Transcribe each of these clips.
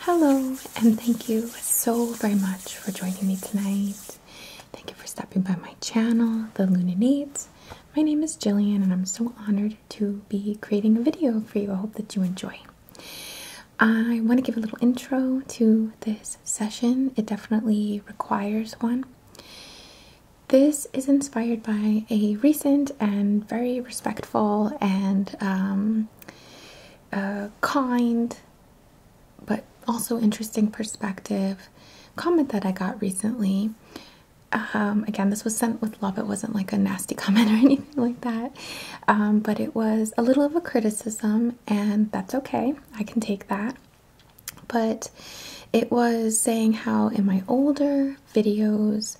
Hello, and thank you so very much for joining me tonight. Thank you for stopping by my channel, The Lunanate. My name is Jillian, and I'm so honored to be creating a video for you. I hope that you enjoy. I want to give a little intro to this session. It definitely requires one. This is inspired by a recent and very respectful and um, uh, kind but also interesting perspective comment that I got recently. Um, again, this was sent with love. It wasn't like a nasty comment or anything like that. Um, but it was a little of a criticism, and that's okay. I can take that but it was saying how in my older videos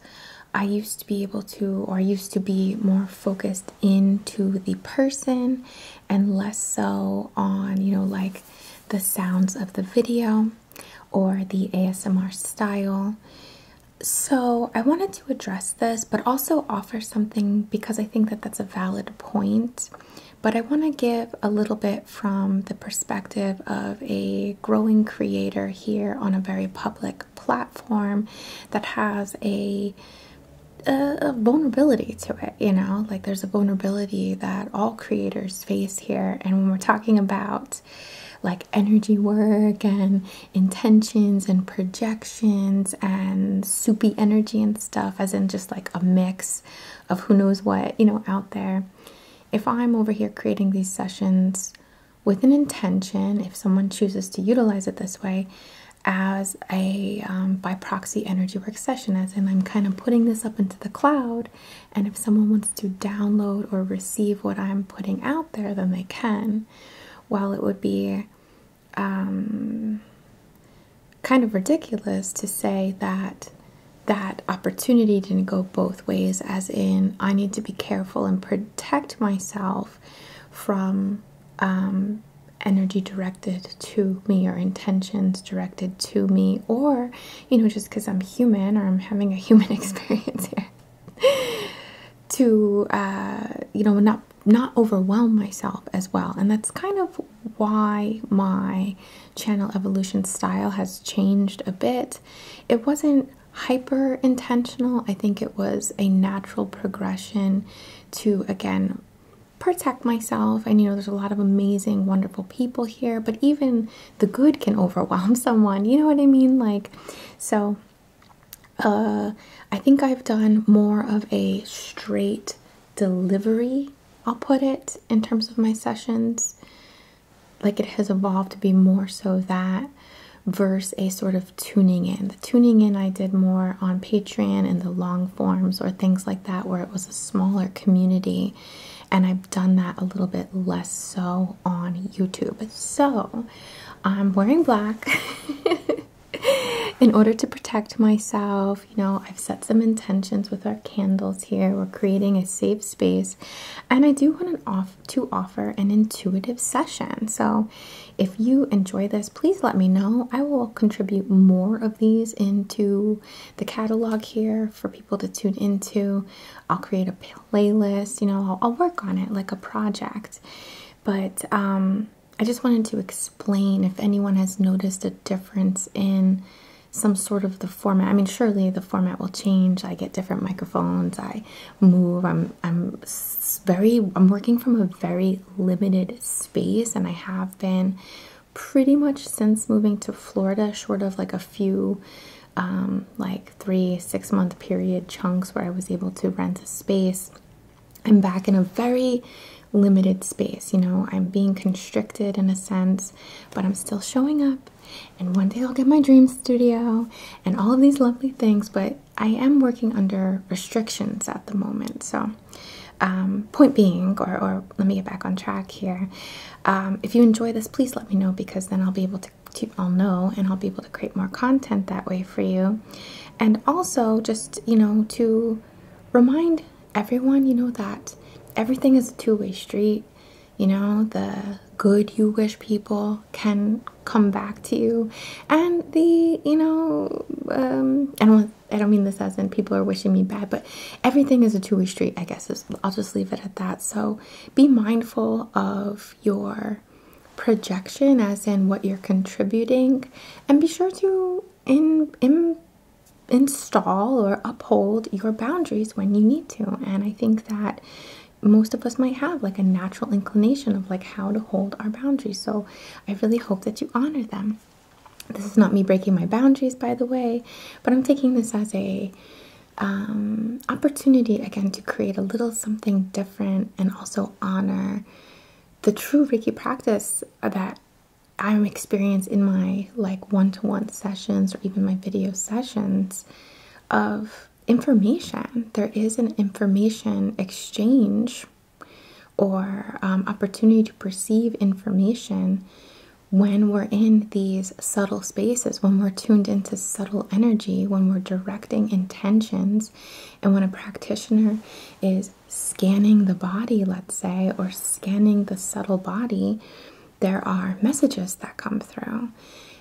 I used to be able to or used to be more focused into the person and less so on, you know, like the sounds of the video or the ASMR style. So I wanted to address this, but also offer something because I think that that's a valid point but I want to give a little bit from the perspective of a growing creator here on a very public platform that has a, a, vulnerability to it. You know, like there's a vulnerability that all creators face here. And when we're talking about like energy work and intentions and projections and soupy energy and stuff, as in just like a mix of who knows what, you know, out there if I'm over here creating these sessions with an intention, if someone chooses to utilize it this way as a um, by proxy energy work session, as and I'm kind of putting this up into the cloud, and if someone wants to download or receive what I'm putting out there, then they can. While it would be um, kind of ridiculous to say that that opportunity didn't go both ways, as in, I need to be careful and protect myself from um, energy directed to me or intentions directed to me, or you know, just because I'm human or I'm having a human experience here. to uh, you know not not overwhelm myself as well and that's kind of why my channel evolution style has changed a bit. It wasn't hyper intentional, I think it was a natural progression to again protect myself. And you know, there's a lot of amazing, wonderful people here, but even the good can overwhelm someone, you know what I mean? Like, so uh, I think I've done more of a straight delivery, I'll put it, in terms of my sessions like it has evolved to be more so that versus a sort of tuning in. The tuning in I did more on Patreon and the long forms or things like that where it was a smaller community and I've done that a little bit less so on YouTube. So I'm wearing black in order to protect myself. You know, I've set some intentions with our candles here. We're creating a safe space. And I do want off to offer an intuitive session. So if you enjoy this, please let me know. I will contribute more of these into the catalog here for people to tune into. I'll create a playlist, you know, I'll, I'll work on it like a project. But um, I just wanted to explain if anyone has noticed a difference in some sort of the format. I mean, surely the format will change. I get different microphones. I move. I'm I'm very I'm working from a very limited space, and I have been pretty much since moving to Florida, short of like a few. Um, like three six month period chunks where I was able to rent a space. I'm back in a very limited space, you know, I'm being constricted in a sense, but I'm still showing up and one day I'll get my dream studio and all of these lovely things, but I am working under restrictions at the moment. So, um, point being, or, let me get back on track here. Um, if you enjoy this, please let me know because then I'll be able to, to, I'll know and I'll be able to create more content that way for you. And also, just you know, to remind everyone, you know, that everything is a two way street you know, the good you wish people can come back to you, and the, you know, um, I don't, I don't mean this as in people are wishing me bad, but everything is a two-way street. I guess I'll just leave it at that. So be mindful of your projection, as in what you're contributing, and be sure to in in install or uphold your boundaries when you need to. And I think that most of us might have like a natural inclination of like how to hold our boundaries. So I really hope that you honor them. This is not me breaking my boundaries, by the way, but I'm taking this as a um, opportunity again to create a little something different and also honor the true Reiki practice that I'm experienced in my like one-to-one sessions or even my video sessions of information there is an information exchange or um, opportunity to perceive information when we're in these subtle spaces when we're tuned into subtle energy when we're directing intentions and when a practitioner is scanning the body let's say or scanning the subtle body there are messages that come through.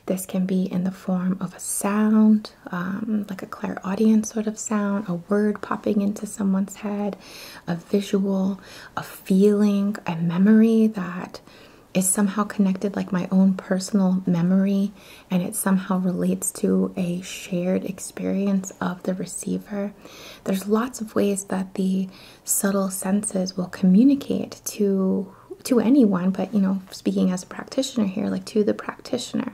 This can be in the form of a sound, um, like a Clairaudience sort of sound, a word popping into someone's head, a visual, a feeling, a memory that is somehow connected, like my own personal memory, and it somehow relates to a shared experience of the receiver. There's lots of ways that the subtle senses will communicate to to anyone but you know speaking as a practitioner here like to the practitioner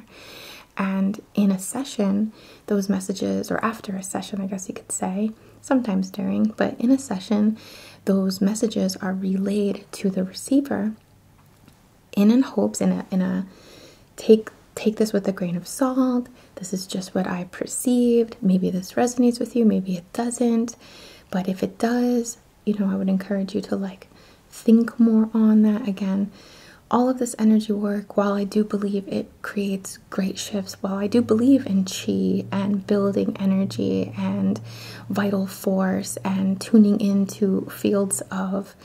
and in a session those messages or after a session i guess you could say sometimes during but in a session those messages are relayed to the receiver in in hopes in a in a take take this with a grain of salt this is just what i perceived maybe this resonates with you, maybe it doesn't. But if it does, you know, I would encourage you to like think more on that again. All of this energy work, while I do believe it creates great shifts, while I do believe in chi and building energy and vital force and tuning into fields of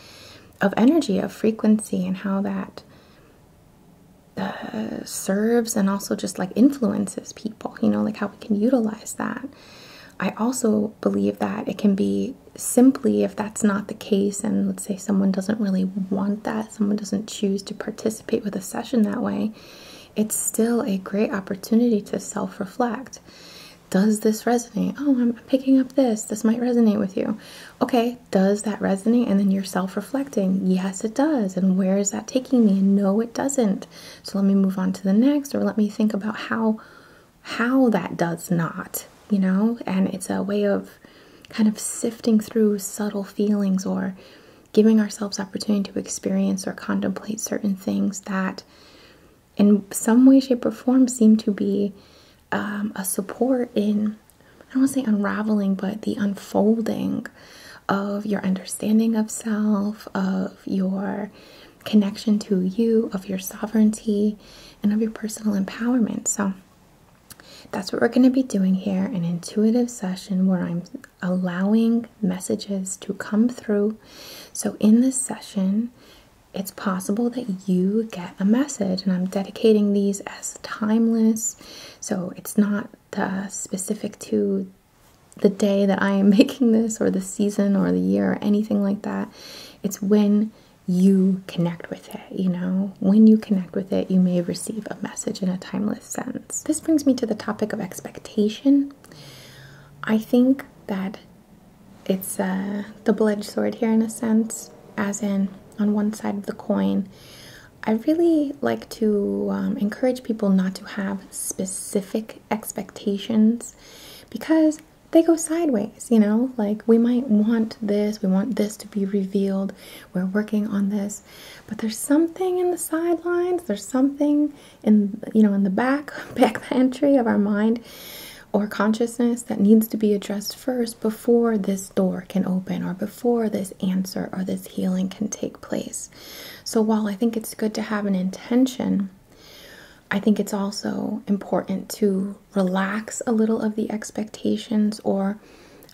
of energy, of frequency and how that uh, serves and also just like influences people, you know, like how we can utilize that. I also believe that it can be simply if that's not the case, and let's say someone doesn't really want that, someone doesn't choose to participate with a session that way, it's still a great opportunity to self reflect. Does this resonate? Oh, I'm picking up this. This might resonate with you. Okay, does that resonate? And then you're self reflecting. Yes, it does. And where is that taking me? And know it doesn't. So let me move on to the next, or let me think about how how that does not, you know? And it's a way of kind of sifting through subtle feelings or giving ourselves opportunity to experience or contemplate certain things that in some way, shape, or form seem to be um, a support in, I don't want to say unraveling, but the unfolding of your understanding of self, of your connection to you, of your sovereignty, and of your personal empowerment. So, that's what we're going to be doing here an intuitive session where I'm allowing messages to come through. So, in this session, it's possible that you get a message, and I'm dedicating these as timeless. So, it's not uh, specific to the day that I am making this, or the season, or the year, or anything like that. It's when you connect with it, you know? When you connect with it, you may receive a message in a timeless sense. This brings me to the topic of expectation. I think that it's a double edged sword here in a sense, as in, on one side of the coin, I really like to um, encourage people not to have specific expectations because they go sideways, you know? Like, we might want this, we want this to be revealed, we're working on this, but there's something in the sidelines, there's something in, you know, in the back, back entry of our mind or consciousness that needs to be addressed first before this door can open or before this answer or this healing can take place. So while I think it's good to have an intention, I think it's also important to relax a little of the expectations or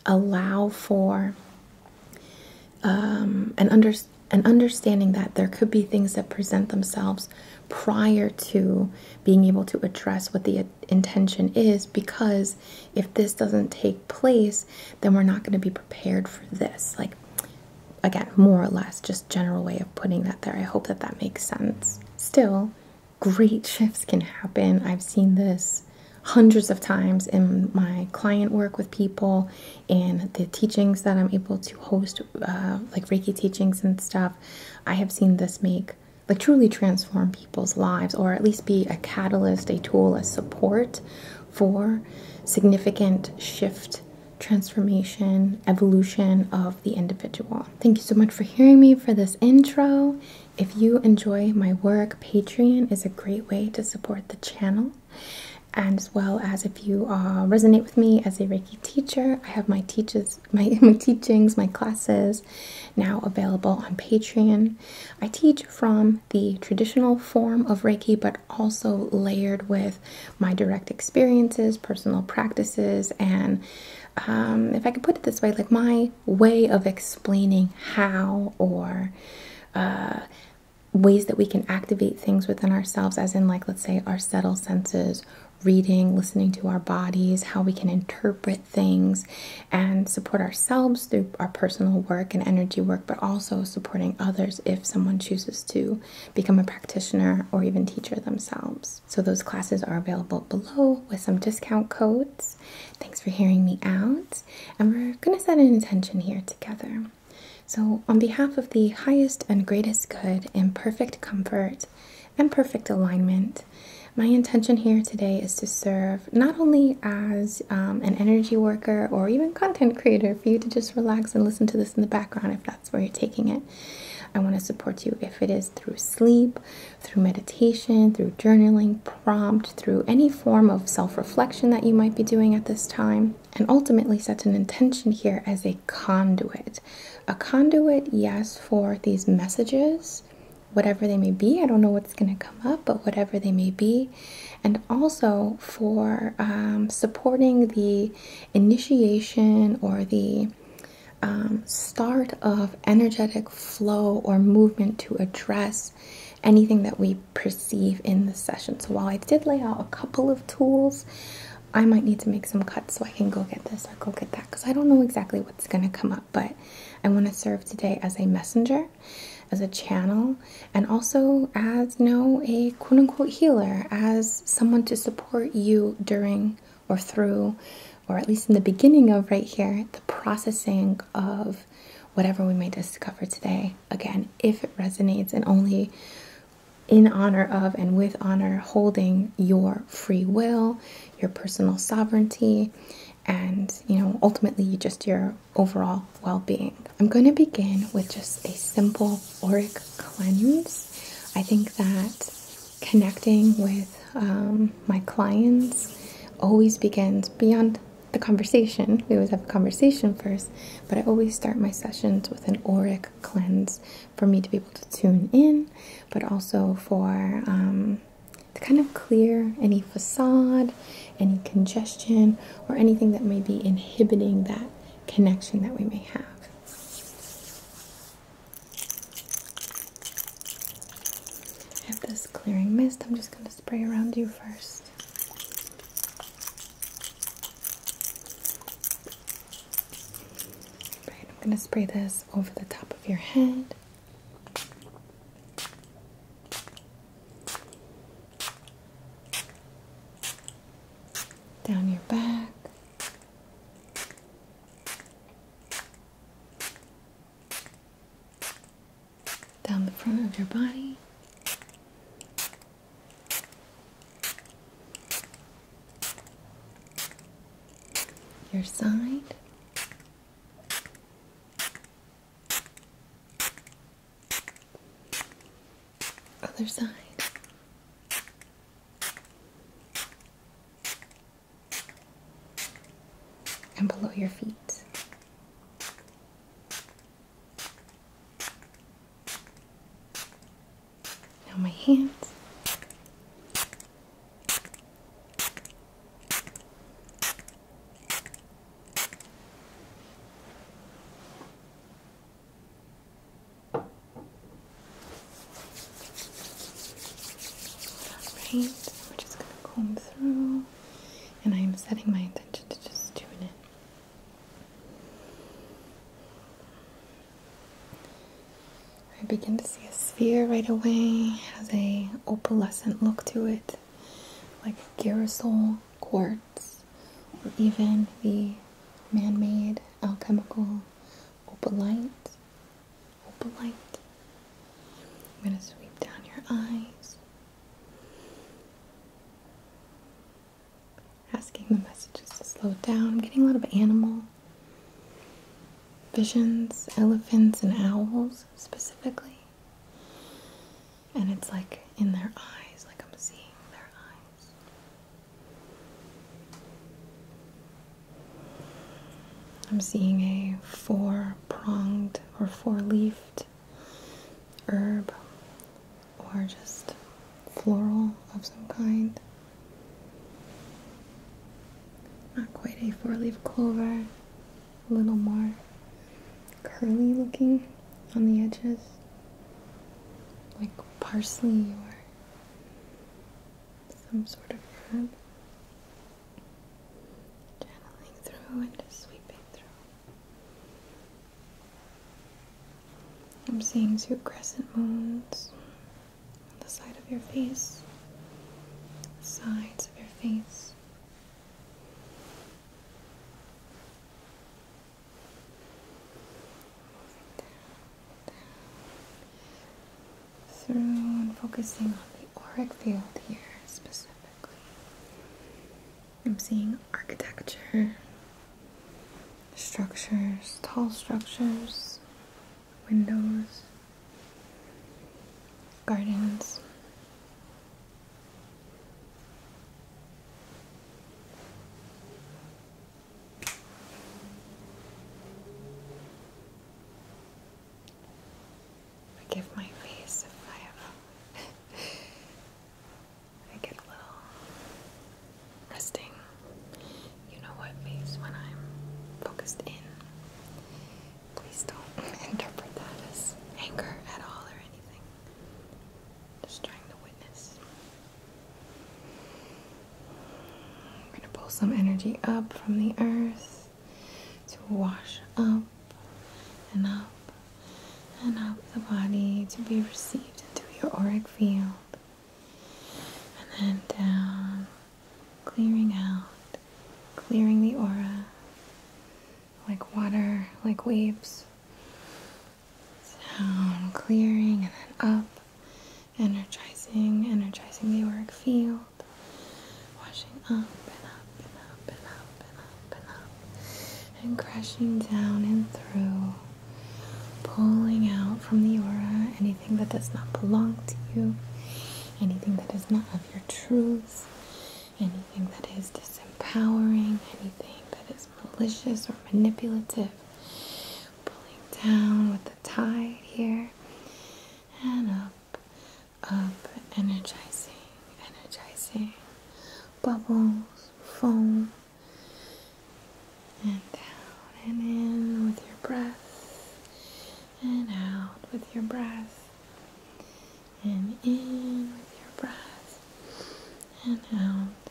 allow for um, an, under, an understanding that there could be things that present themselves prior to being able to address what the intention is. Because if this doesn't take place, then we're not going to be prepared for this. Like, again, more or less, just general way of putting that there. I hope that that makes sense. Still, great shifts can happen. I've seen this hundreds of times in my client work with people and the teachings that I'm able to host, uh, like Reiki teachings and stuff. I have seen this make like truly transform people's lives or at least be a catalyst, a tool, a support for significant shift, transformation, evolution of the individual. Thank you so much for hearing me for this intro. If you enjoy my work, Patreon is a great way to support the channel. as well as if you uh, resonate with me as a Reiki teacher, I have my teaches, my teachings, my classes now available on Patreon. I teach from the traditional form of Reiki, but also layered with my direct experiences, personal practices, and um, if I could put it this way, like my way of explaining how or uh, ways that we can activate things within ourselves, as in, like, let's say, our subtle senses, reading, listening to our bodies, how we can interpret things and support ourselves through our personal work and energy work, but also supporting others if someone chooses to become a practitioner or even teacher themselves. So, those classes are available below with some discount codes. Thanks for hearing me out. And we're going to set an intention here together. So, on behalf of the highest and greatest good and perfect comfort and perfect alignment, my intention here today is to serve not only as um, an energy worker or even content creator for you to just relax and listen to this in the background if that's where you're taking it. I want to support you if it is through sleep, through meditation, through journaling, prompt, through any form of self reflection that you might be doing at this time. And ultimately, set an intention here as a conduit. A conduit, yes, for these messages, whatever they may be. I don't know what's going to come up, but whatever they may be, and also for um, supporting the initiation or the um, start of energetic flow or movement to address anything that we perceive in the session. So while I did lay out a couple of tools, I might need to make some cuts so I can go get this or go get that because I don't know exactly what's going to come up, but I want to serve today as a messenger as a channel and also as you know a quote unquote healer as someone to support you during or through or at least in the beginning of right here the processing of whatever we may discover today again if it resonates and only in honor of and with honor holding your free will your personal sovereignty and you know ultimately just your overall well being. I'm going to begin with just a simple auric cleanse. I think that connecting with um, my clients always begins beyond the conversation. We always have a conversation first, but I always start my sessions with an auric cleanse for me to be able to tune in, but also for um, to kind of clear any facade any congestion or anything that may be inhibiting that connection that we may have. I have this clearing mist. I'm just going to spray around you first. Right, I'm going to spray this over the top of your head down your back. Down the front of your body. Your side. Other side. And below your feet. Now my hands. Alright, so we just gonna comb through, and I am setting my intention to just tune in. I begin to see a sphere right away, it has a opalescent look to it, like a girasol quartz or even the man made alchemical opalite. Opalite. I'm going to sweep down your eyes, asking the messages to slow down. I'm getting a lot of animal visions, elephants, and owls specifically. And it's like in their eyes, like I'm seeing their eyes. I'm seeing a four pronged or four leafed herb or just floral of some kind. Not quite a four leaf clover, a little more curly looking on the edges, like parsley or some sort of herb. Channeling through and just sweeping through. I'm seeing two crescent moons on the side of your face, the sides of your face. So, I'm focusing on the auric field here specifically. I'm seeing architecture, structures, tall structures, windows, gardens, I give my face if I have uh, I get a little resting you know what face when I'm focused in. Please don't interpret that as anger at all or anything. Just trying to witness. We're going to pull some energy up from the earth to wash up and up and up the body to be received into your auric field. And then down, clearing out, clearing the aura, like water, like waves. Down, clearing, and then up, energizing, energizing the auric field, washing up and up and up and up and up and up, and crashing down and through, pulling out from the aura anything that does not belong to you, anything that is not of your truth, anything that is disempowering, anything that is malicious or manipulative. Pulling down with the tide here and up, up, energizing, energizing. Bubbles, foam, and down and in with your breath, and out with your breath, and in with your breath and out.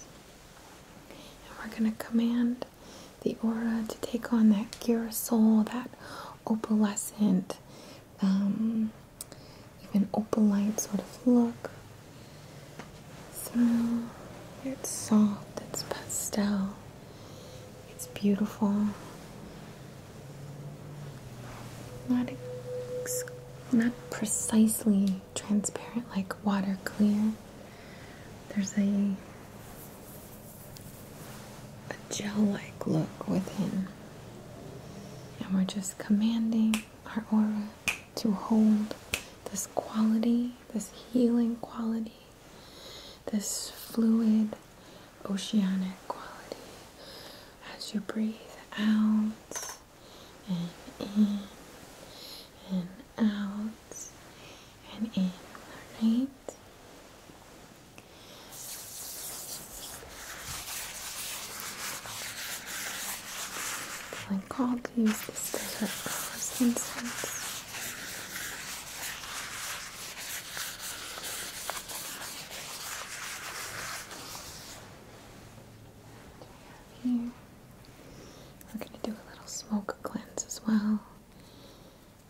And we're going to command the aura to take on that gear soul, that opalescent, um, even opalite sort of look. So it's soft, it's pastel, it's beautiful. Not not precisely transparent like water clear. There's a a gel-like look within. And we're just commanding our aura to hold this quality, this healing quality, this fluid, oceanic quality. As you breathe out, and in and out and in, right? Feeling called to use this we're going to do a little smoke cleanse as well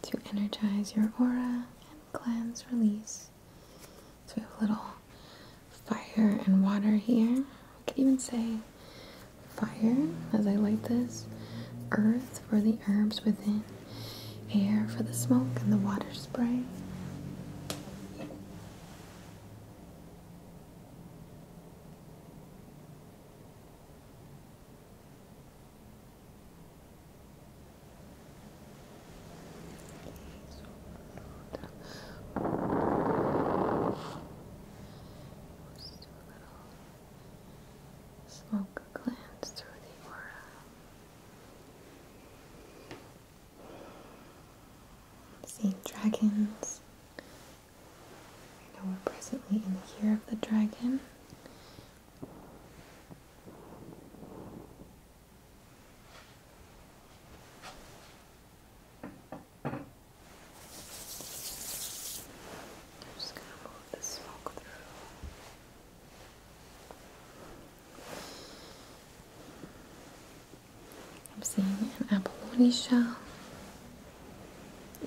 to energize your aura and cleanse, release. So we have a little fire and water here. We could even say fire as I light this, earth for the herbs within, air for the smoke and the water spray. Let's do a little smoke glance through the aura seeing dragons. I know we're presently in the year of the dragon. I'm just gonna move the smoke through. I'm seeing an apple shell,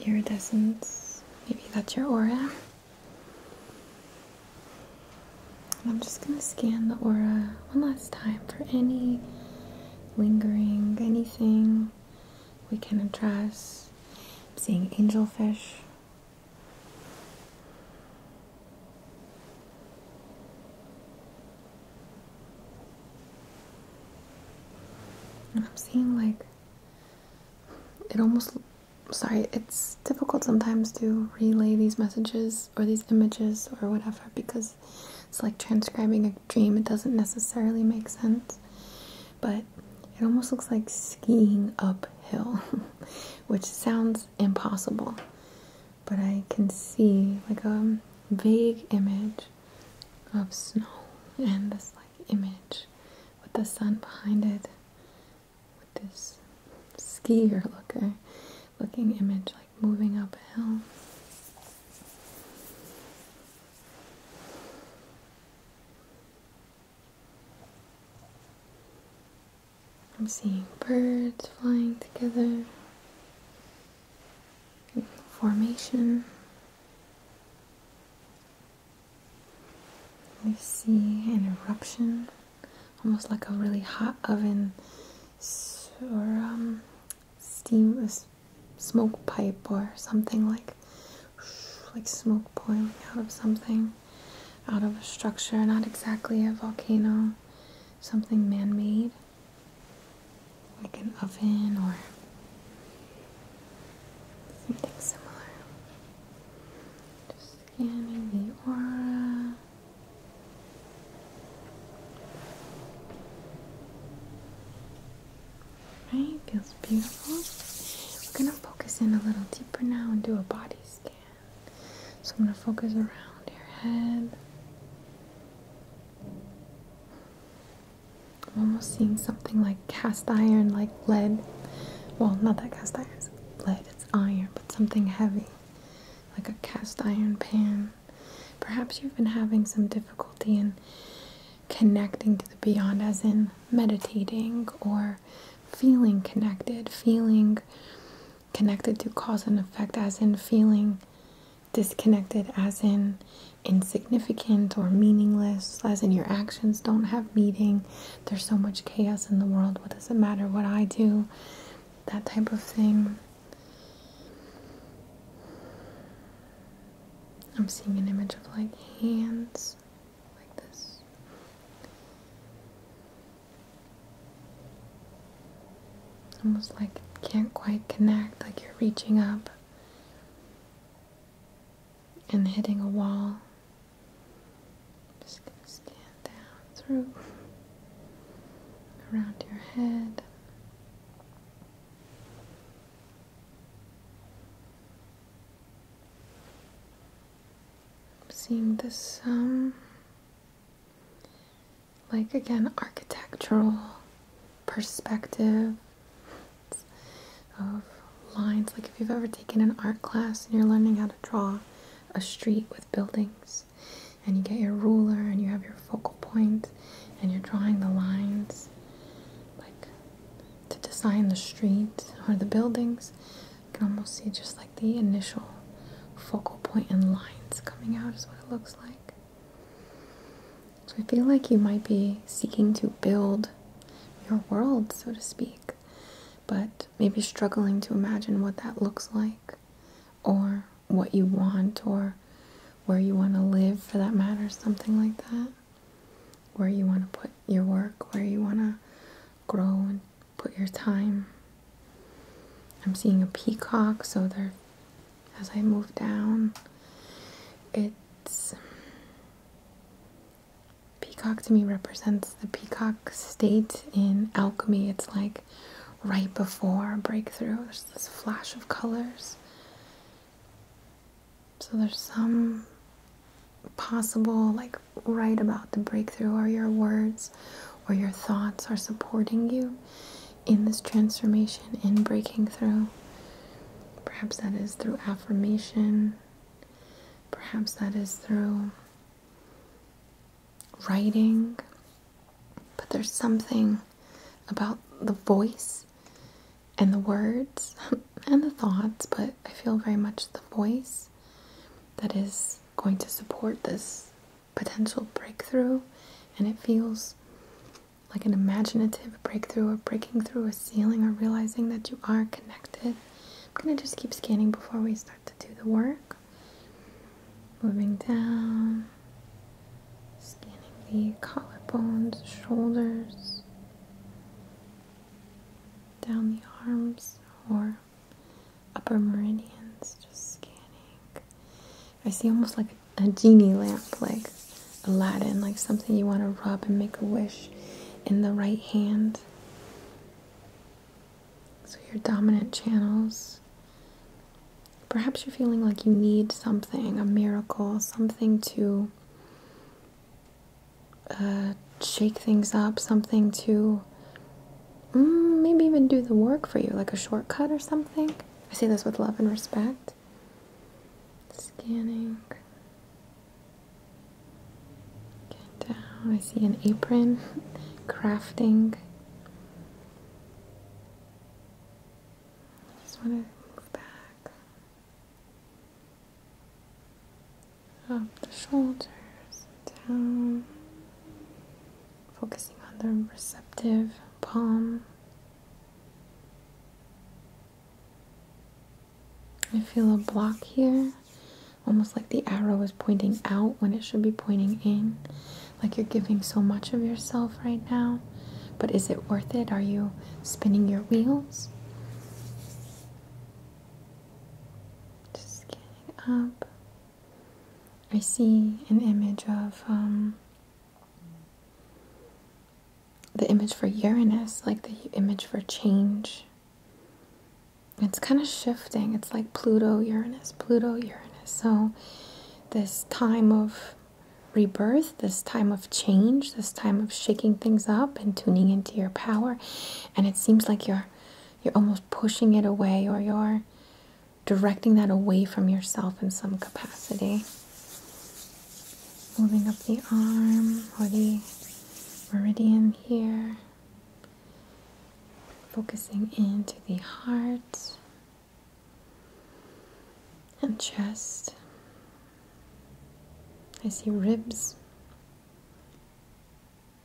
iridescence, maybe that's your aura. I'm just going to scan the aura one last time for any lingering, anything we can address. seeing angelfish. I'm seeing like it almost sorry, it's difficult sometimes to relay these messages or these images or whatever because it's like transcribing a dream. It doesn't necessarily make sense. But it almost looks like skiing uphill, which sounds impossible but I can see like a vague image of snow and this like image with the sun behind it with this skier looker looking image like moving up a hill. I'm seeing birds flying together, in formation. I see an eruption, almost like a really hot oven or um, steam, smoke pipe or something like like smoke boiling out of something, out of a structure, not exactly a volcano something man made, like an oven or something similar. Just scanning the aura. Right, feels beautiful. We're gonna focus in a little deeper now and do a body scan. So I'm going to focus around your head. I'm almost seeing something like cast iron, like lead. Well, not that cast iron is lead, it's iron, but something heavy, like a cast iron pan. Perhaps you've been having some difficulty in connecting to the beyond, as in meditating or feeling connected, feeling connected to cause and effect, as in feeling disconnected, as in insignificant or meaningless, as in your actions don't have meaning. There's so much chaos in the world. What does it matter what I do? That type of thing. I'm seeing an image of like hands like this. Almost like it can't quite connect, like you're reaching up and hitting a wall. just gonna stand down through around your head. seeing the sun like again architectural perspective of lines like if you've ever taken an art class and you're learning how to draw a street with buildings and you get your ruler and you have your focal point and you're drawing the lines like to design the street or the buildings you can almost see just like the initial focal point and lines coming out is what it looks like. So I feel like you might be seeking to build your world, so to speak, but maybe struggling to imagine what that looks like or what you want or where you want to live for that matter, something like that. Where you want to put your work, where you want to grow and put your time. I'm seeing a peacock, so there, as I move down, it's. Peacock to me represents the peacock state in alchemy. It's like right before breakthrough, there's this flash of colors. So there's some possible, like right about the breakthrough, or your words or your thoughts are supporting you in this transformation, in breaking through. Perhaps that is through affirmation, perhaps that is through writing, but there's something about the voice and the words and the thoughts, but I feel very much the voice that is going to support this potential breakthrough, and it feels like an imaginative breakthrough or breaking through a ceiling or realizing that you are connected. I'm going to just keep scanning before we start to do the work. Moving down, scanning the collarbones, shoulders, down the arms or upper meridians, just scanning. I see almost like a genie lamp, like Aladdin, like something you want to rub and make a wish in the right hand. So, your dominant channels. Perhaps you're feeling like you need something, a miracle, something to uh, shake things up, something to Mm, maybe even do the work for you, like a shortcut or something. I say this with love and respect. Scanning. Get down. I see an apron. Crafting. just want to move back. Up the shoulders. Down focusing on the receptive palm. I feel a block here, almost like the arrow is pointing out when it should be pointing in. Like you're giving so much of yourself right now, but is it worth it? Are you spinning your wheels? Just getting up. I see an image of um, the image for Uranus, like the image for change. It's kind of shifting. It's like Pluto, Uranus, Pluto, Uranus. So, this time of rebirth, this time of change, this time of shaking things up and tuning into your power, and it seems like you're you're almost pushing it away or you're directing that away from yourself in some capacity. Moving up the arm or the meridian here, focusing into the heart and chest. I see ribs.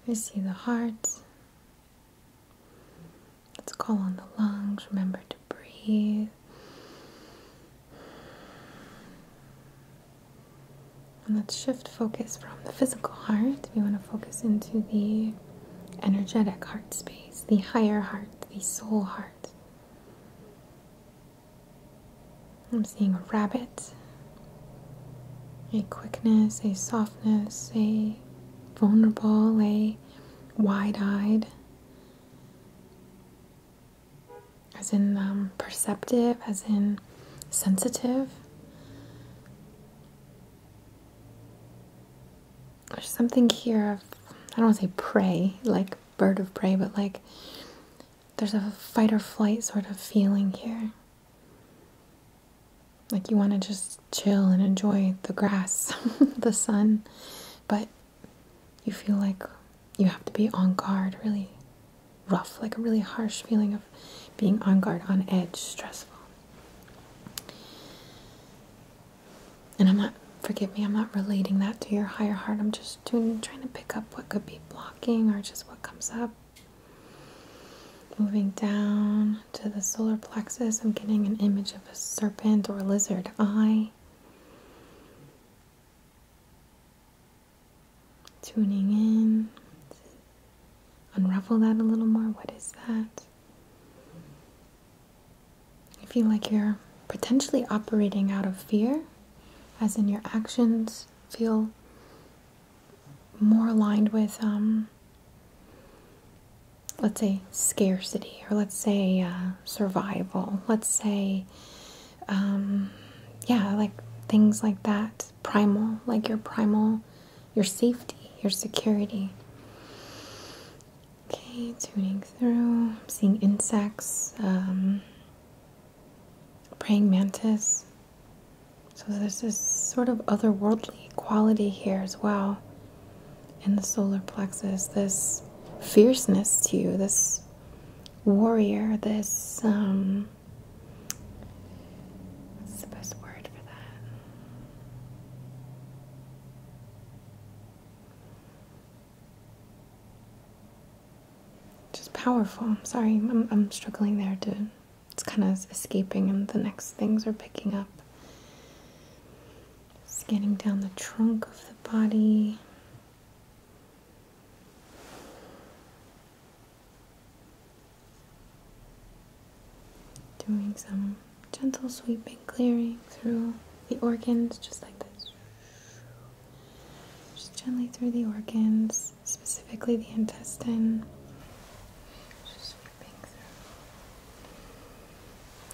I see the heart. Let's call on the lungs. Remember to breathe. And let's shift focus from the physical heart. We want to focus into the energetic heart space, the higher heart, the soul heart. I'm seeing a rabbit, a quickness, a softness, a vulnerable, lay wide eyed, as in um, perceptive, as in sensitive. There's something here of, I don't want to say prey, like bird of prey, but like there's a fight or flight sort of feeling here. Like you want to just chill and enjoy the grass, the sun, but you feel like you have to be on guard, really rough, like a really harsh feeling of being on guard, on edge, stressful. And I'm not, forgive me, I'm not relating that to your higher heart. I'm just trying to pick up what could be blocking or just what comes up. Moving down to the solar plexus, I'm getting an image of a serpent or lizard eye. Tuning in. Unravel that a little more. What is that? I feel like you're potentially operating out of fear, as in your actions feel more aligned with um, let's say scarcity or let's say uh, survival let's say um, yeah like things like that primal like your primal your safety your security okay tuning through seeing insects um, praying mantis so there's this sort of otherworldly quality here as well in the solar plexus, this fierceness to you, this warrior, this um, what's the best word for that? Just powerful. I'm sorry, I'm, I'm struggling there to it's kind of escaping, and the next things are picking up. Scanning down the trunk of the body. Doing some gentle sweeping, clearing through the organs, just like this. Just gently through the organs, specifically the intestine.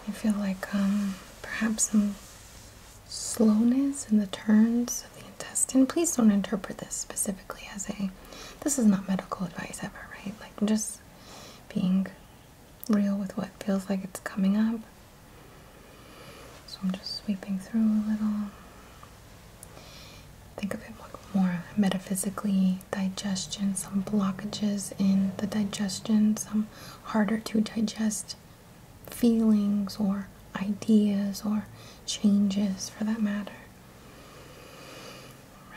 I feel like um, perhaps some slowness in the turns of the intestine. Please don't interpret this specifically as a. This is not medical advice ever, right? Like just being real with what feels like it's coming up. So I'm just sweeping through a little. Think of it more metaphysically, digestion, some blockages in the digestion, some harder to digest feelings or ideas or changes for that matter.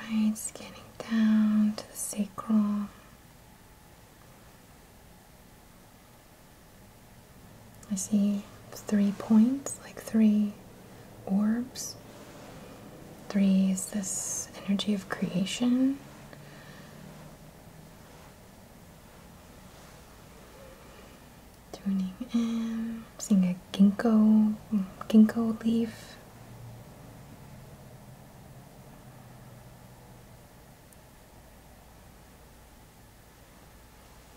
Right, scanning down to the sacral. I see three points, like three orbs. Three is this energy of creation. Tuning in, seeing a ginkgo, ginkgo leaf.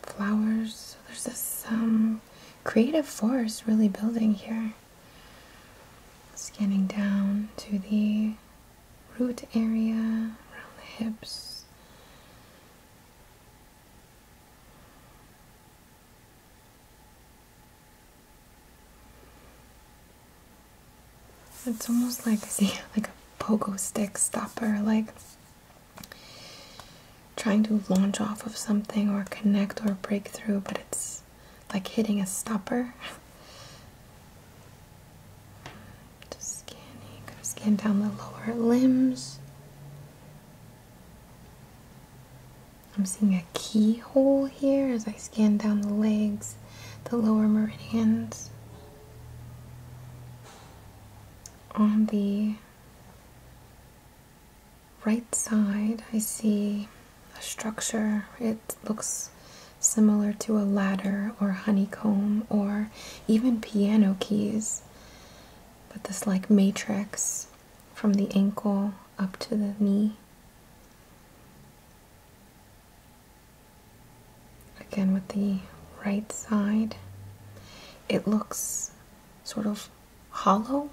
Flowers. So there's this um, creative force really building here. Scanning down to the root area around the hips. It's almost like see like a pogo stick stopper, like trying to launch off of something or connect or break through, but it's like hitting a stopper. Just scanning, scan down the lower limbs. I'm seeing a keyhole here as I scan down the legs, the lower meridians. On the right side, I see a structure. It looks similar to a ladder or honeycomb or even piano keys, but this like matrix from the ankle up to the knee. Again, with the right side, it looks sort of hollow,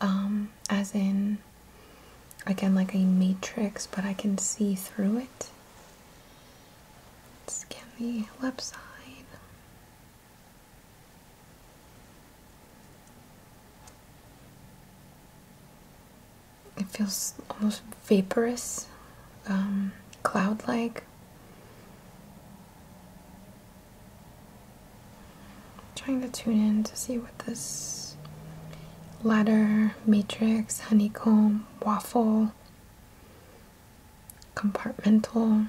um, as in again like a matrix, but I can see through it. scan the left side. It feels almost vaporous, um, cloud like trying to tune in to see what this ladder, matrix, honeycomb, waffle, compartmental,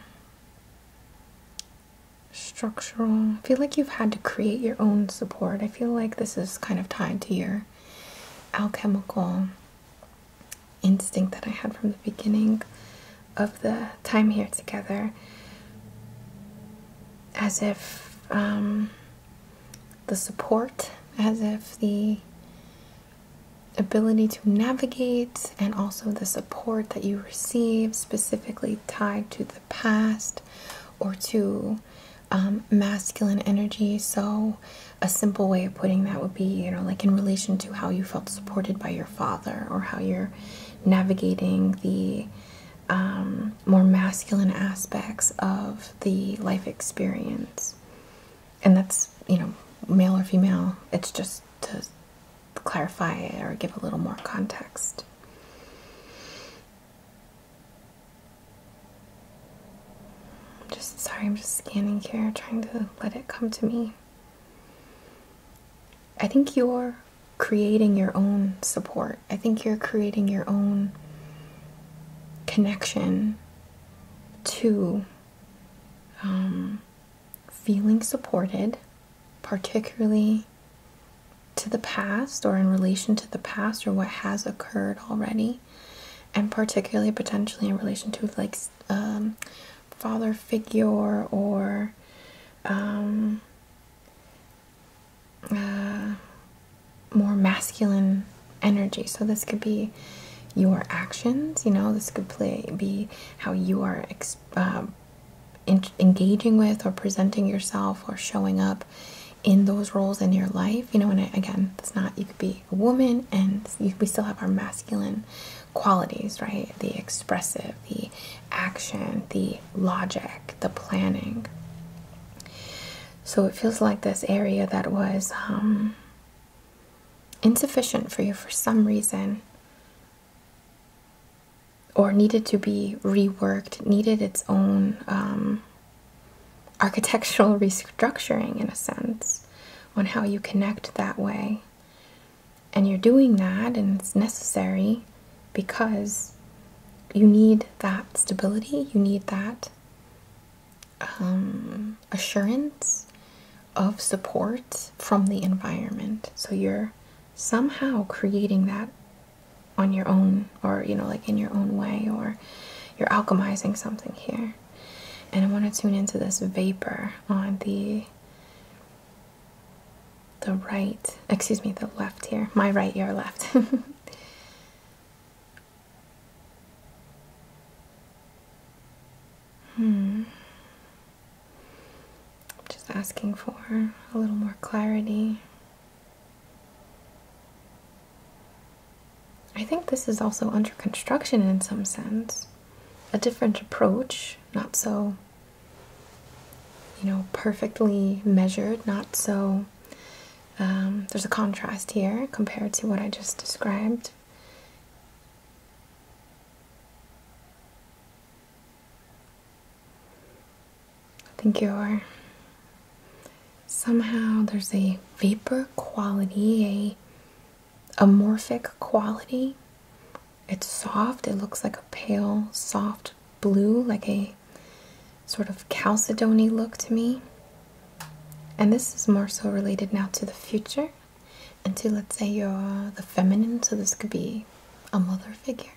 structural. feel like you've had to create your own support. I feel like this is kind of tied to your alchemical instinct that I had from the beginning of the time here together as if um, the support, as if the ability to navigate, and also the support that you receive, specifically tied to the past or to um, masculine energy. So, a simple way of putting that would be, you know, like in relation to how you felt supported by your father or how you're navigating the um, more masculine aspects of the life experience. And that's, you know, male or female, it's just to clarify or give a little more context. I'm just sorry, I'm just scanning here, trying to let it come to me. I think you're creating your own support. I think you're creating your own connection to um, feeling supported, particularly to the past or in relation to the past or what has occurred already, and particularly potentially in relation to like um, father figure or um, uh, more masculine energy. So this could be your actions. You know, this could play be how you are uh, engaging with or presenting yourself or showing up in those roles in your life. You know, and again, it's not you could be a woman and we still have our masculine qualities, right? The expressive, the action, the logic, the planning. So it feels like this area that was um, insufficient for you for some reason or needed to be reworked, needed its own um, architectural restructuring in a sense on how you connect that way. And you're doing that and it's necessary, because you need that stability, you need that um, assurance of support from the environment. So you're somehow creating that on your own, or you know, like in your own way, or you're alchemizing something here. And I want to tune into this vapor on the the right, excuse me, the left here, my right, your left. hmm. Just asking for a little more clarity. I think this is also under construction in some sense. A different approach, not so you know, perfectly measured, not so. Um, there's a contrast here compared to what I just described. I think you're somehow there's a vapor quality, a amorphic quality. It's soft, it looks like a pale, soft blue, like a sort of chalcedony look to me. And this is more so related now to the future and to, let's say, you're the feminine, so this could be a mother figure.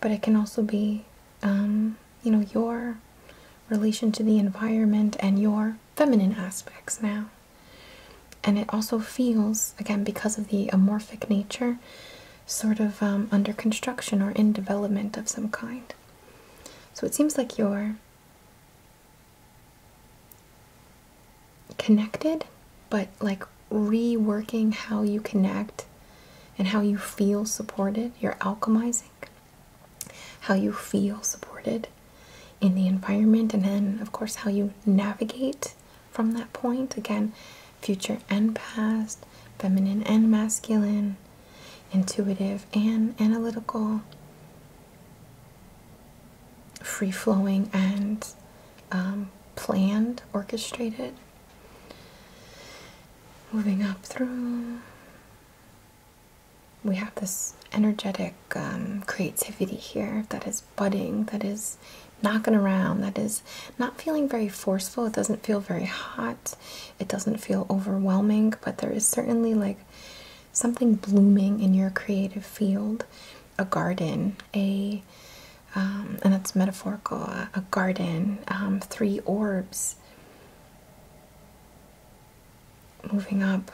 But it can also be, um, you know, your relation to the environment and your feminine aspects now. And it also feels, again, because of the amorphic nature, sort of um, under construction or in development of some kind. So it seems like you're connected, but like reworking how you connect and how you feel supported. You're alchemizing how you feel supported in the environment, and then, of course, how you navigate from that point. Again, future and past, feminine and masculine, intuitive and analytical, free flowing and um, planned, orchestrated. Moving up through, we have this energetic um, creativity here that is budding, that is knocking around that is not feeling very forceful it doesn't feel very hot it doesn't feel overwhelming but there is certainly like something blooming in your creative field a garden a um, and that's metaphorical a, garden um, three orbs moving up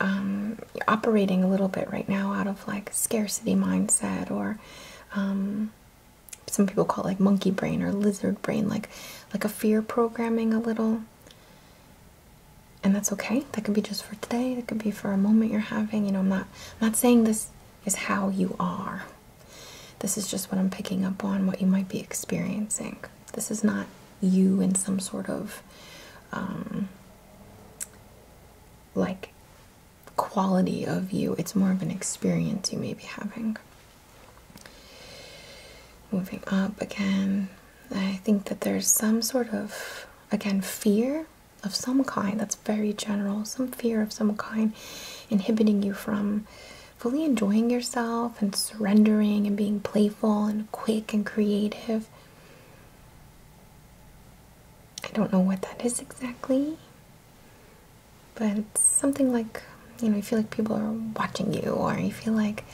um, operating a little bit right now out of like scarcity mindset or some people call it like monkey brain or lizard brain, like like a fear programming a little. And that's okay. That could be just for today. That could be for a moment you're having. You know, I'm not not saying this is how you are. This is just what I'm picking up on, what you might be experiencing. This is not you in some sort of um, like quality of you, it's more of an experience you may be having. Moving up again, I think that there's some sort of, again, fear of some kind that's very general, some fear of some kind inhibiting you from fully enjoying yourself and surrendering and being playful and quick and creative. I don't know what that is exactly but something like you know you feel like people are watching you or you feel like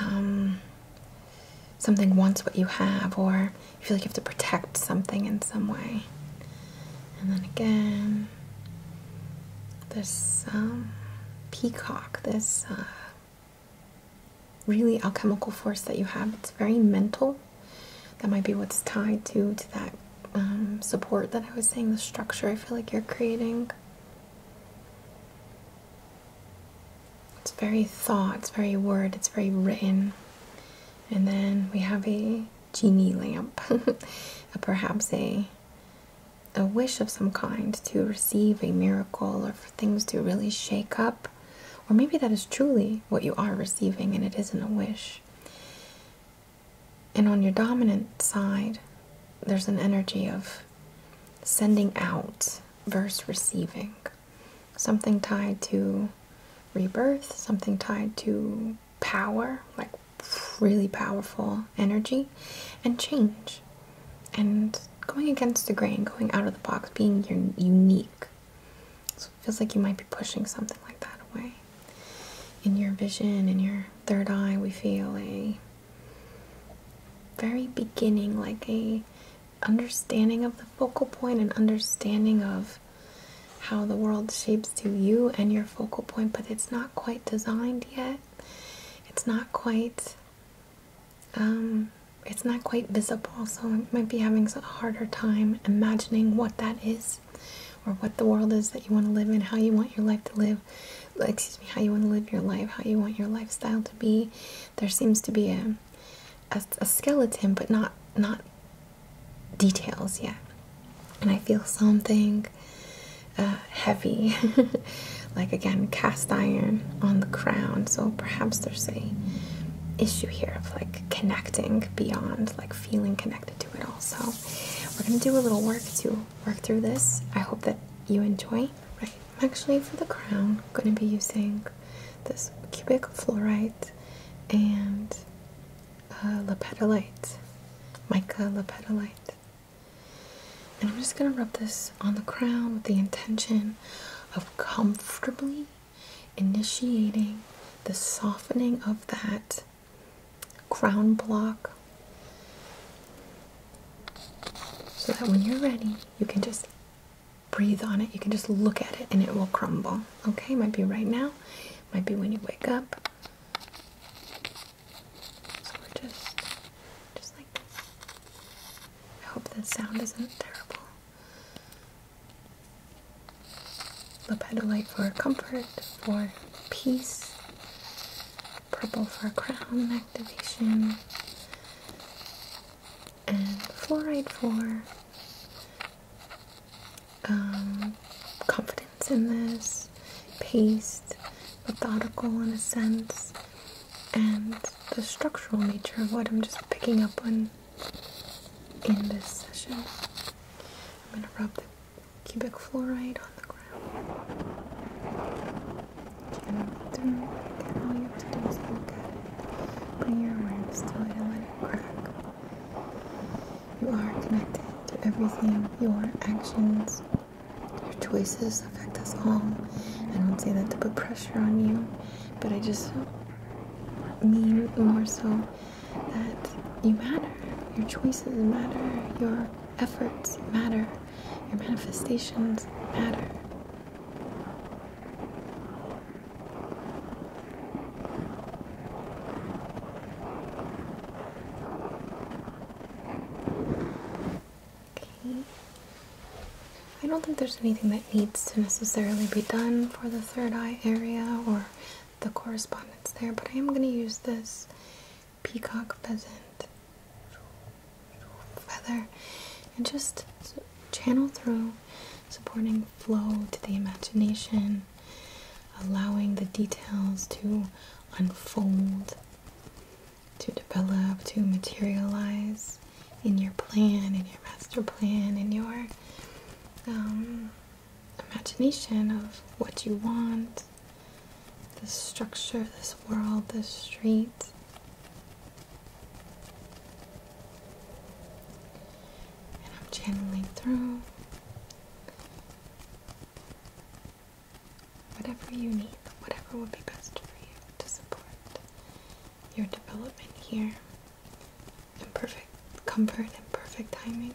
um, something wants what you have or you feel like you have to protect something in some way and then again this um, peacock this uh, really alchemical force that you have it's very mental that might be what's tied to to that um, support that I was saying, the structure I feel like you're creating. It's very thought, it's very word, it's very written. And then we have a genie lamp, perhaps a a wish of some kind to receive a miracle or for things to really shake up. Or maybe that is truly what you are receiving and it isn't a wish. And on your dominant side, there's an energy of sending out versus receiving. Something tied to rebirth, something tied to power, like really powerful energy, and change. And going against the grain, going out of the box, being unique. Feels like you might be pushing something like that away. In your vision, in your third eye, we feel a very beginning, like a understanding of the focal point and understanding of how the world shapes to you and your focal point, but it's not quite designed yet. It's not quite um, it's not quite visible, so I might be having a harder time imagining what that is or what the world is that you want to live in, how you want your life to live, excuse me, how you want to live your life, how you want your lifestyle to be. There seems to be a, a, skeleton, but not not details yet. And I feel something uh, heavy, like again, cast iron on the crown. So perhaps there's a issue here of like connecting beyond, like feeling connected do it all. So we're gonna do a little work to work through this. I hope that you enjoy. Right. I'm actually for the crown gonna be using this cubic fluorite and uh, mica lapetolite. And I'm just gonna rub this on the crown with the intention of comfortably initiating the softening of that crown block so that when you're ready, you can just breathe on it. You can just look at it and it will crumble. Okay, might be right now, might be when you wake up. So we're just, just like I hope the sound isn't terrible. The for comfort, for peace. Purple for crown activation. And fluorite for um, confidence in this, paste, methodical in a sense, and the structural nature of what I'm just picking up on in this session. I'm going to rub cubic fluoride on the ground. can All you have to do is look your awareness to it and let it crack. You are connected to everything. Your actions, your choices affect us all. I don't say that to put pressure on you, but I just mean more so that you matter, your choices matter, your efforts matter, your manifestations matter. Okay. I don't think there's anything that needs to necessarily be done for the third eye area or the correspondence there, but I am going to use this peacock pheasant feather and just channel through, supporting flow to the imagination, allowing the details to unfold, to develop, to materialize in your plan, in your master plan, in your. Um, imagination of what you want, this structure, this world, this street. And I'm channeling through whatever you need, whatever would be best for you to support your development here in perfect comfort and perfect timing.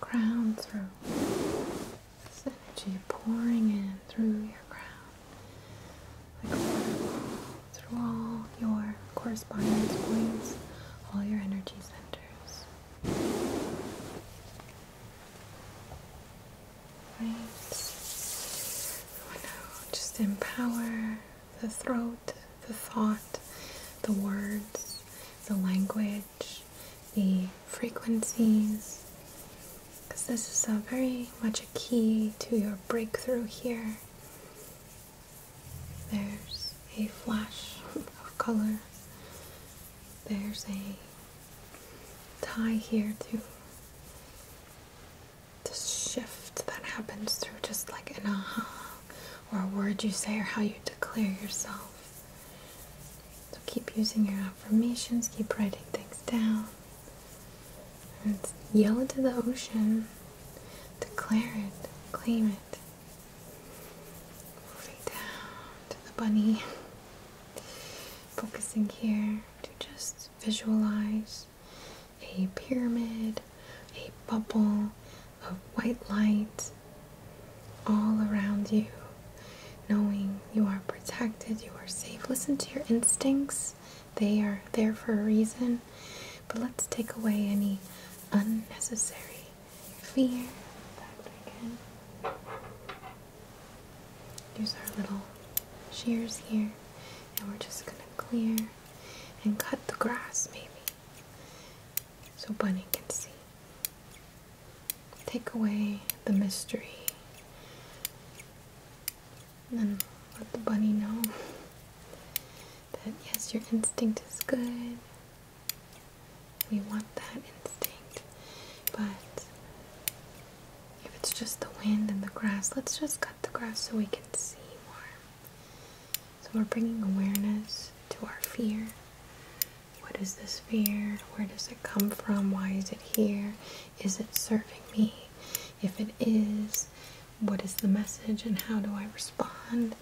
crown through this energy pouring in through your crown like through all your correspondence points all your energy centers right so oh now just empower the throat the thought, the words, the language, the frequencies, because this is a very much a key to your breakthrough here. There's a flash of color. There's a tie here to the shift that happens through just like an aha or a word you say or how you declare yourself. So keep using your affirmations, keep writing things down. And yell into the ocean. Declare it, claim it. Moving down to the bunny. Focusing here to just visualize a pyramid, a bubble, of white light all around you, knowing you are protected, you are safe. Listen to your instincts, they are there for a reason. But let's take away any unnecessary fear. Again. Use our little shears here, and we're just gonna clear and cut the grass maybe so Bunny can see. Take away the mystery. And let the bunny know that yes, your instinct is good. We want that instinct. But if it's just the wind and the grass, let's just cut the grass so we can see more. So we're bringing awareness to our fear. What is this fear? Where does it come from? Why is it here? Is it serving me? If it is, what is the message and how do I respond?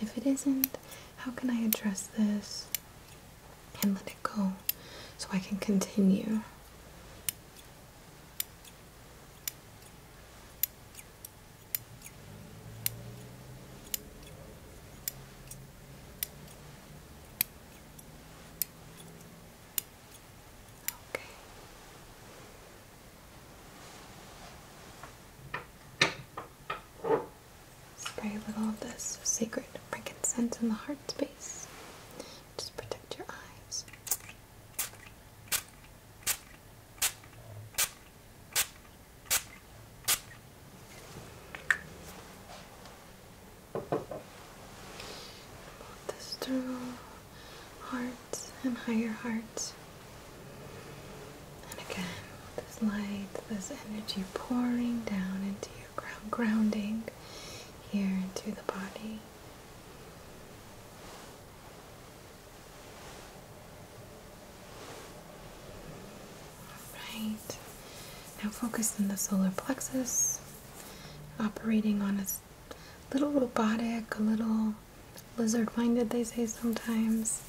If it isn't, how can I address this and let it go so I can continue? Okay. Spray a little of this sacred frankincense in the heart space. Just protect your eyes this through hearts and higher hearts. And again, this light, this energy pouring down into your ground, grounding here into the body. Right. Now focus on the solar plexus, operating on a little robotic, a little lizard minded, they say sometimes.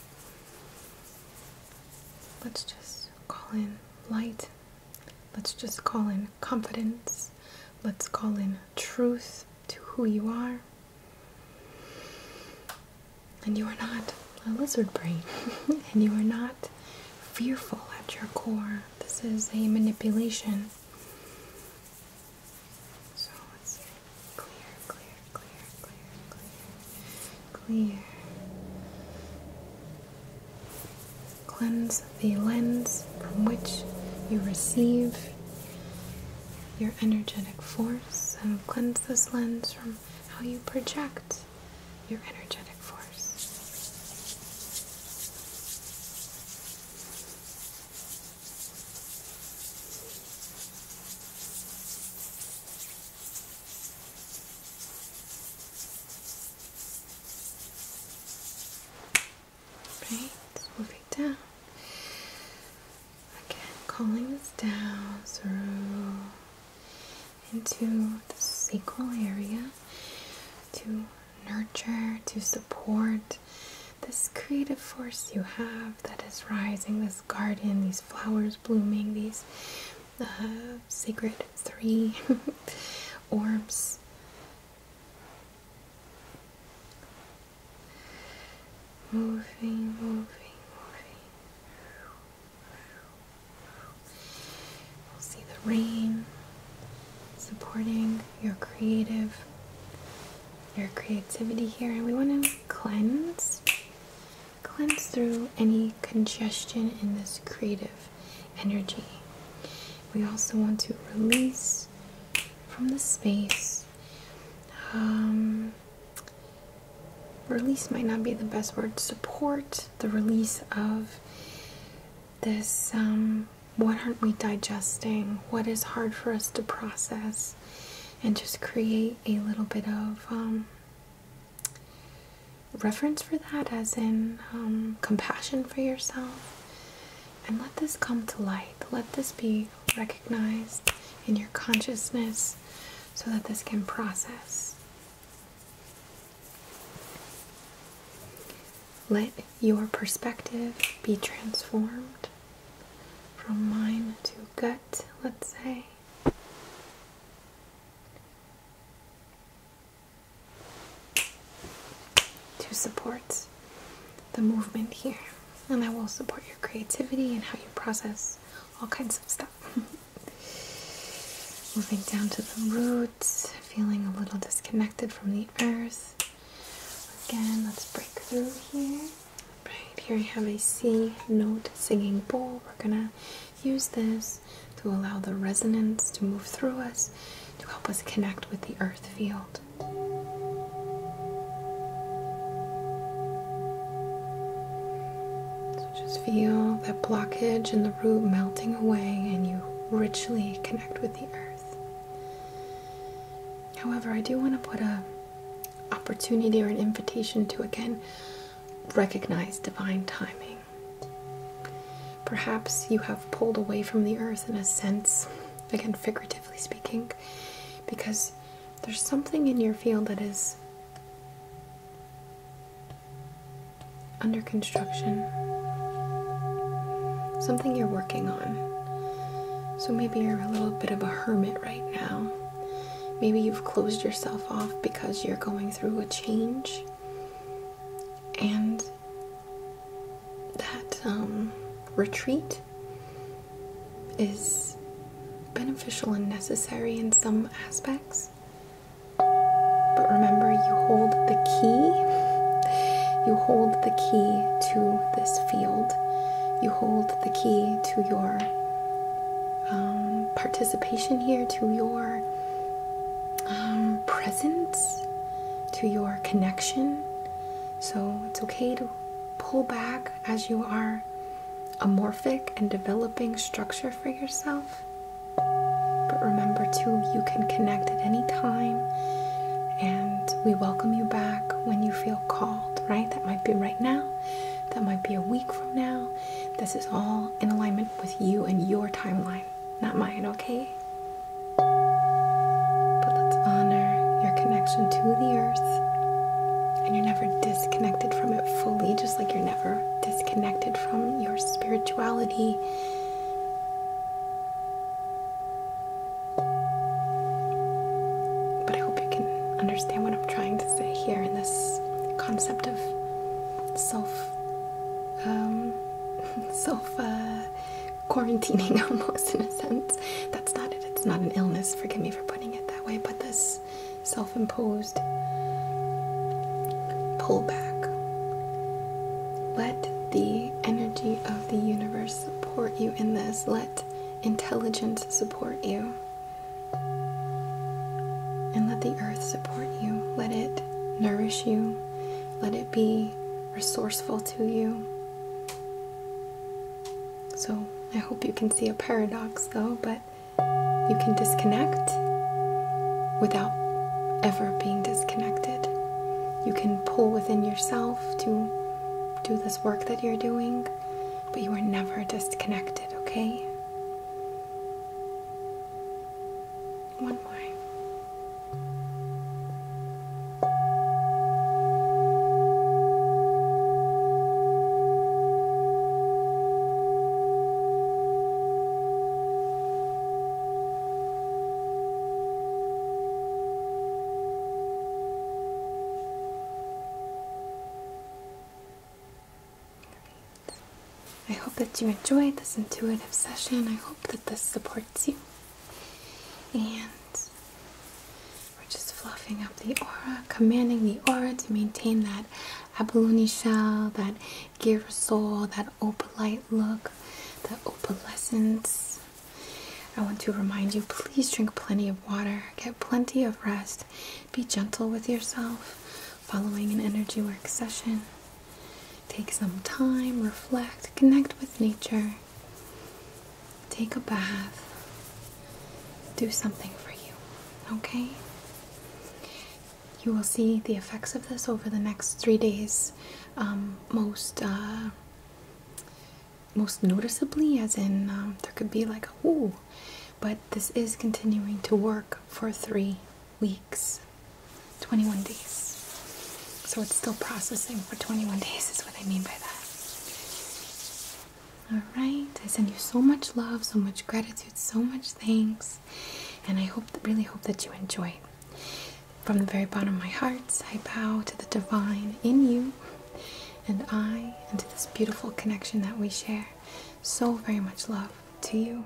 Let's just call in light. Let's just call in confidence. Let's call in truth to who you are. And you are not a lizard brain. and you are not fearful at your core. This is a manipulation. So let's see. clear, clear, clear, clear, clear. Cleanse the lens from which you receive your energetic force and cleanse this lens from how you project your energetic force. Right, moving down. Again, calling this down through into the sacral area to nurture, to support this creative force you have that is rising, this garden, these flowers blooming, these uh, sacred three orbs moving, moving, moving. You'll see the rain supporting your creative, your creativity here. And we want to cleanse, cleanse through any congestion in this creative energy. We also want to release from the space. Um, release might not be the best word, support the release of this um, what aren't we digesting, what is hard for us to process, and just create a little bit of um, reference for that, as in um, compassion for yourself. And let this come to light. Let this be recognized in your consciousness so that this can process. Let your perspective be transformed from mind to gut, let's say. To support the movement here, and that will support your creativity and how you process all kinds of stuff. Moving down to the roots, feeling a little disconnected from the earth. Again, let's break through here. Right here, we have a C note singing bowl. We're gonna use this to allow the resonance to move through us to help us connect with the earth field. So just feel that blockage and the root melting away, and you richly connect with the earth. However, I do want to put a opportunity or an invitation to again recognize divine timing. Perhaps you have pulled away from the earth in a sense, again, figuratively speaking, because there's something in your field that is under construction, something you're working on. So maybe you're a little bit of a hermit right now. Maybe you've closed yourself off because you're going through a change and that um, retreat is beneficial and necessary in some aspects. But remember, you hold the key. You hold the key to this field. You hold the key to your um, participation here, to your um, presence, to your connection. So it's okay to pull back as you are a morphic and developing structure for yourself. But remember, too, you can connect at any time, and we welcome you back when you feel called, right? That might be right now, that might be a week from now. This is all in alignment with you and your timeline, not mine, okay? But let's honor your connection to the earth, and you're never disconnected from it fully, just like you're never disconnected from your spirituality. But I hope you can understand what I'm trying to say here in this concept of self um, self uh, quarantining almost in a sense. That's not it. It's not an illness, forgive me for putting it that way, but this self imposed pullback. Let the energy of the universe support you in this. Let intelligence support you. And let the earth support you. Let it nourish you. Let it be resourceful to you. So I hope you can see a paradox though, but you can disconnect without ever being disconnected. You can pull within yourself to do this work that you're doing, but you are never disconnected, okay? One more. I hope that you enjoyed this intuitive session. I hope that this supports you. And we're just fluffing up the aura, commanding the aura to maintain that abalone shell, that gear soul, that opalite look, that opalescence. I want to remind you please drink plenty of water, get plenty of rest, be gentle with yourself following an energy work session. Take some time, reflect, connect with nature, take a bath do something for you, okay? You will see the effects of this over the next three days, um, most uh, most noticeably, as in um, there could be like a ooh, but this is continuing to work for three weeks, 21 days. So it's still processing for 21 days, is what I mean by that. All right. I send you so much love, so much gratitude, so much thanks. And I hope really hope that you enjoy From the very bottom of my heart, I bow to the divine in you and I and to this beautiful connection that we share. So very much love to you.